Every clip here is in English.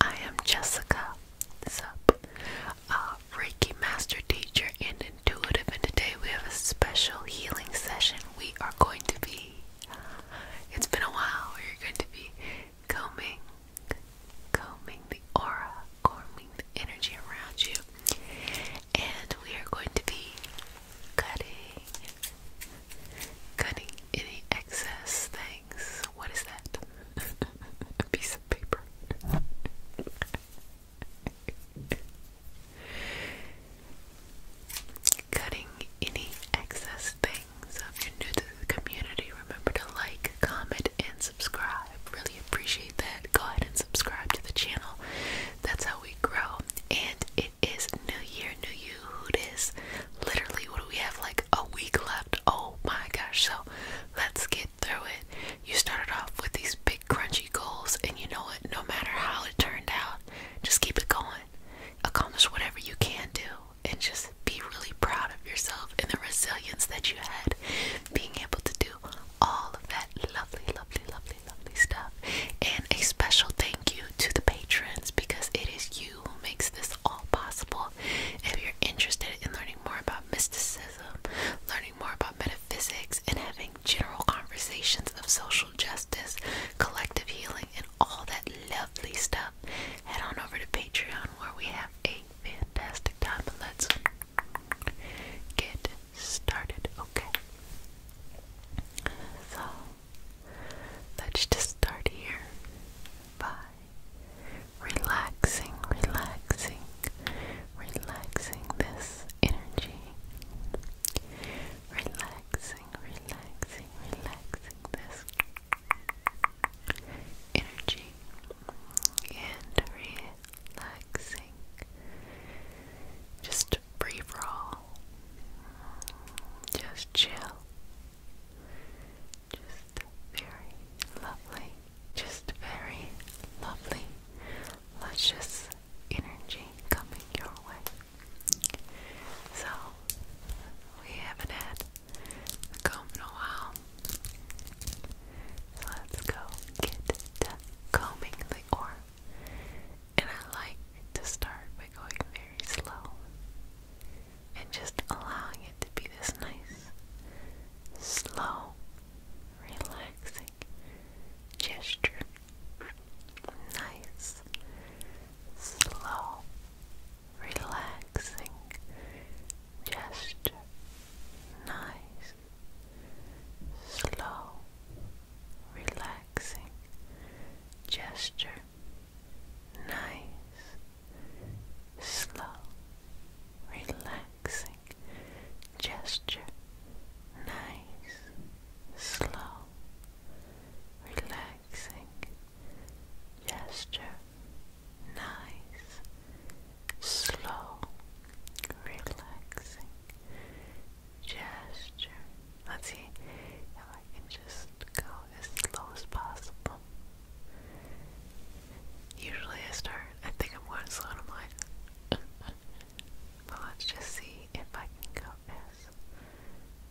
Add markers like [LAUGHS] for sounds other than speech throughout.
I am Jessica Sup, uh, Reiki Master Teacher and Intuitive, and today we have a special healing session. We are going to be, it's been a while, we're going to be combing, combing the aura, combing the energy around you, and we are going to be cutting, Cutting any excess things. What is that? [LAUGHS] A piece of paper. Cutting any excess things. if you're new to the community, remember to like, comment, and subscribe. Really appreciate that. Go ahead and subscribe to the channel. That's how we grow. And it is New Year, New You, cute is. Literally, we have? Like a week left. Oh my gosh. So let's get through it. You started off with these big crunchy goals, and you know what? No matter how it turned out, just keep it going. Accomplish whatever you can do, and just be really proud of yourself and the resilience that you had being able to do all of that lovely, lovely, lovely, lovely stuff. And a special thank you to the patrons because it is you who makes this all possible. If you're interested in learning more about mysticism, learning more about metaphysics, and having general conversations of social justice, collective healing, and all that lovely stuff, head on over to Patreon where we have a fantastic time. let's get started, okay? So let's just start here. Bye relaxing, relaxing, relaxing this energy, relaxing, relaxing, relaxing this energy, and relaxing. Just free for all. Just chill. Just very lovely, just very lovely, luscious energy coming your way. So, we haven't had the comb in a while. So let's go get to combing the orb. And I like to start by going very slow and just allowing it to be this nice, slow, relaxing gesture. Nice, slow, relaxing gesture. Nice, slow, relaxing gesture nice, slow, relaxing gesture. Nice, slow, relaxing gesture. Nice, slow, relaxing gesture. Let's see if I can just go as low as possible. Usually I start, I think I'm going slow and but let's just see if I can go as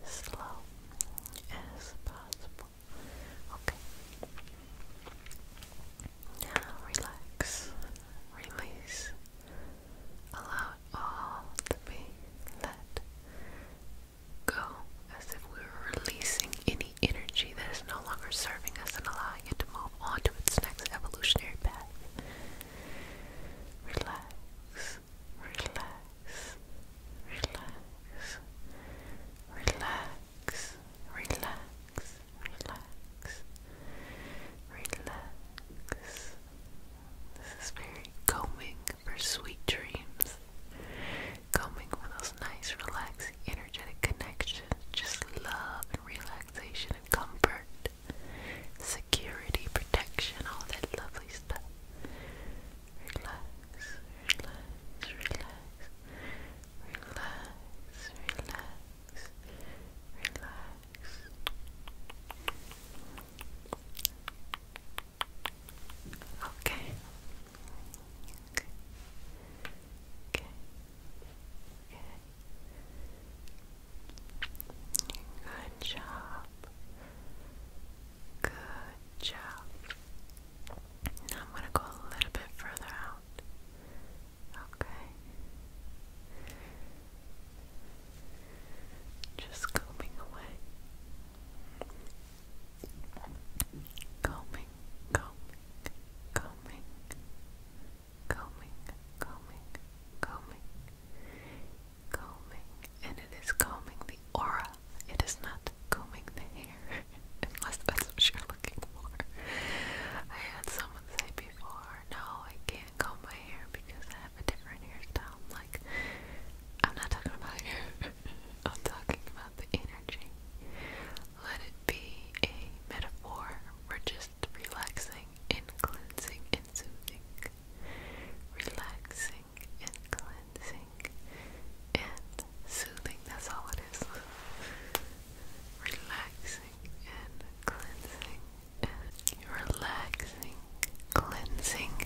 slow as possible. Okay. Now relax, release, allow all to be let go as if we were releasing any energy that is no longer serving us and allowing it to move on to its next evolutionary path. Relax, relax, relax, relax, relax, relax, relax. This is very calming for sweet dreams coming with those nice, relaxing, energetic connections, just love relaxation and comfort, security, protection, all that lovely stuff. Relax, relax, relax, relax, relax, relax. Okay, Good job. Good job. Now I'm going to go a little bit further out. Okay. Just combing away combing, combing, combing, combing, combing, combing, combing, and it is combing the aura. It is not combing the hair, [LAUGHS] unless that's what you're looking for. I had someone say before, no, I can't comb my hair because I have a different hairstyle. I'm like, I'm not talking about hair. I'm talking about the energy. Let it be a metaphor for just relaxing and cleansing and soothing. Relaxing and cleansing and soothing. That's all it is. relaxing and cleansing and relaxing, cleansing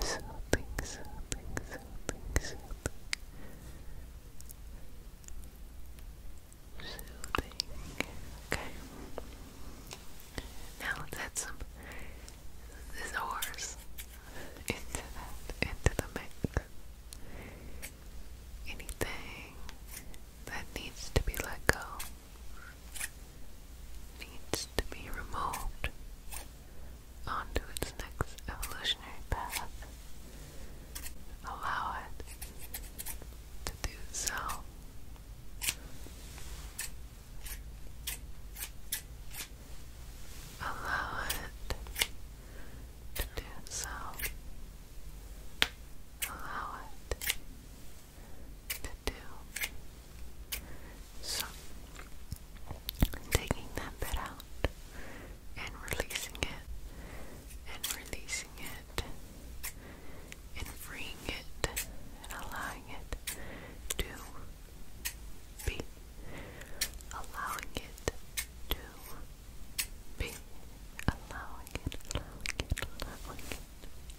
soothing, soothing, soothing, soothing. Soothing. Okay. Now let's add some this horse into that, into the mix. Anything that needs to be let go needs to be removed onto its next evolutionary path, allow it to do so. Allow it to do so. Allow it to do so, taking that bit out and releasing it and releasing it and freeing it and allowing it to be, allowing it to be, allowing it, allowing it,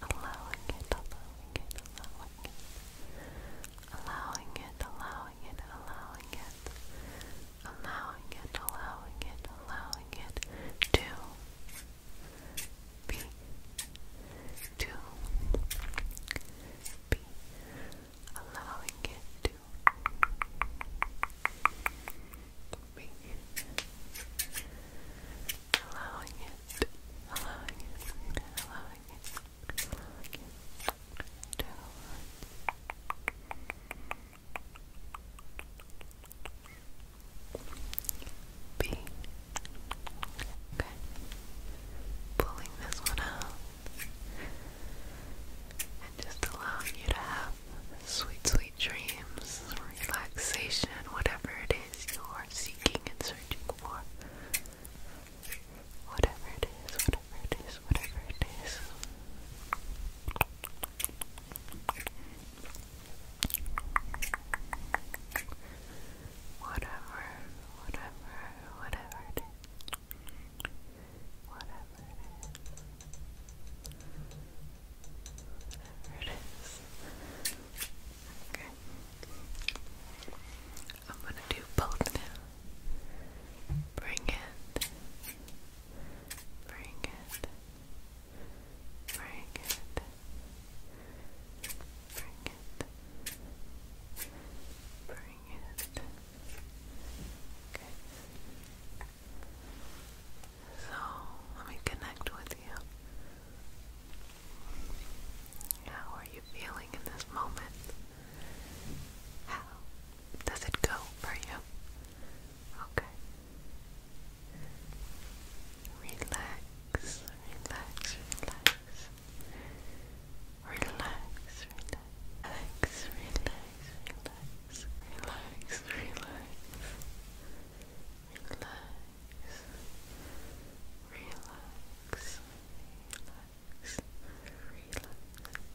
allowing it, allowing it, allowing it, allowing it, allowing it, allowing it, allowing it, allowing it, allowing it, allowing it to be, to be, allowing it to be, allowing it, allowing it, allowing it. B. Okay. Pulling this one out. And just allowing you to have sweet, sweet dreams, relaxation, whatever it is you are seeking and searching for. Whatever it is, whatever it is, whatever it is. Whatever, whatever, whatever it is. Whatever it is. Whatever it is. Okay. I'm going to do both now. Bring it. Bring it. Bring it. Bring it. Bring it. Okay. So, let me connect with you. How are you feeling in this moment? How does it go for you? Okay. Relax, relax, relax. Relax, relax, relax, relax, relax, relax. Relax. Relax. Relax.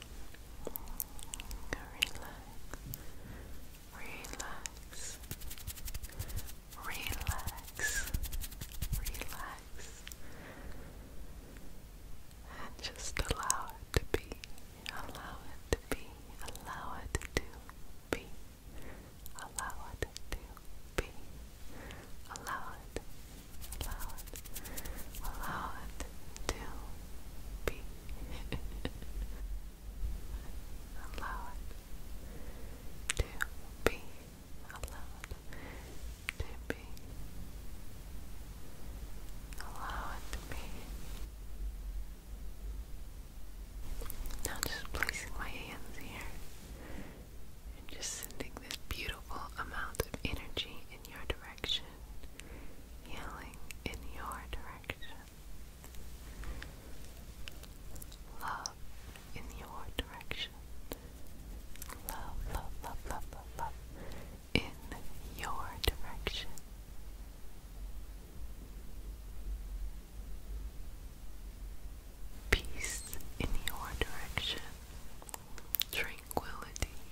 relax, relax, relax, relax, and just allow it to be, allow it to be, allow it to be, allow it to be, allow it, allow it, allow it to be allowed to be allowed to be allowed to be now just placing my hands here and just sending this beautiful amount of energy in your direction healing in your direction Love in your direction. Love, love, love, love, love, love in your direction. Peace in your direction. Tranquility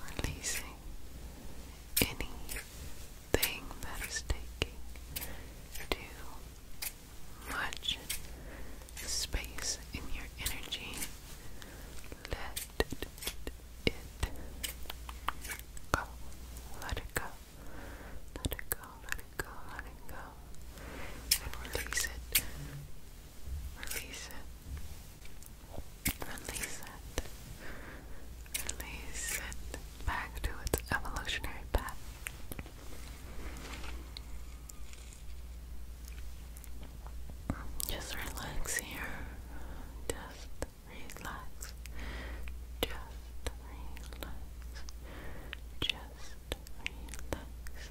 Releasing anything that is taking too much space in your energy. Let it go. Let it go. Let it go. Let it it go, let it go. And release it. Release it. Release it. Release it back to its evolutionary path. Just relax here. Just relax. Just relax. Just relax.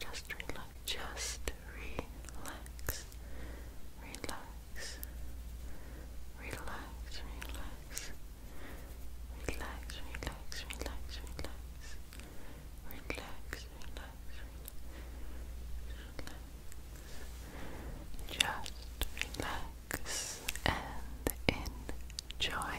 Just relax. Just relax. Relax. Relax. Relax. Relax. Relax. Relax. Relax. Relax. Relax. Just relax and enjoy.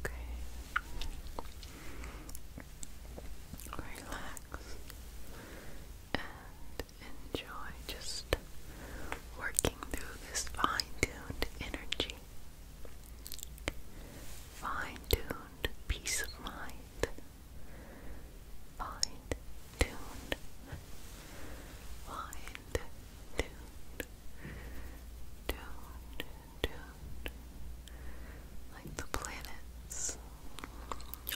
Okay. Relax and enjoy just working through this fine-tuned energy. Fine-tuned peace of mind. Fine tuned. Fine tuned. Tuned, tuned. Like the planets,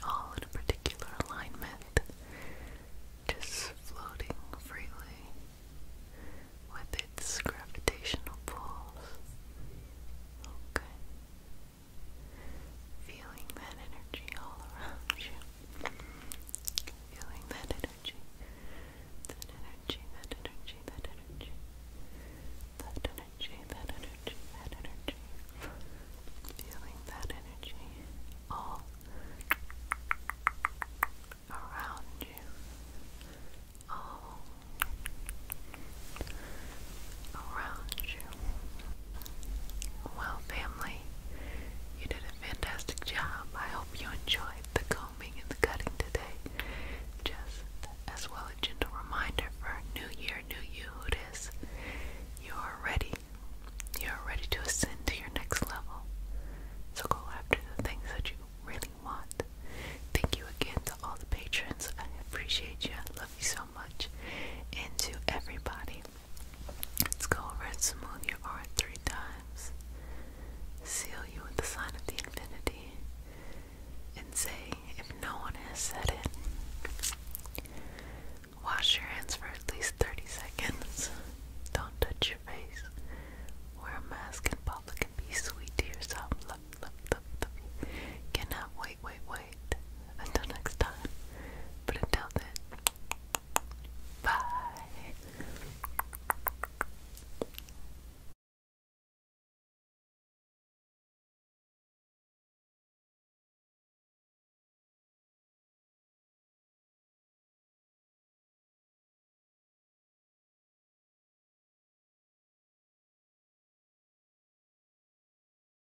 all in a particular alignment, just floating freely with its gravitational pulls. Okay. Feeling that energy all around you. Feeling that energy. That energy, that energy, that energy. That energy, that energy, Feeling that energy all around you. All well, family, you did a fantastic job. I hope you enjoyed the combing and the cutting today. Just as well, a gentle reminder for New Year, New You, it is. You are ready. You are ready to ascend to your next level. So go after the things that you really want. Thank you again to all the patrons. I appreciate you. love you so much. And to everybody Let's go over and smooth your art three times. Seal you with the sign of the infinity and say, if no one has said it, wash your hands for at least 30 seconds. Don't touch your face. Wear a mask in public and be sweet to yourself. Love, love, love, Cannot wait, wait, wait night. Until next time. But until then, bye.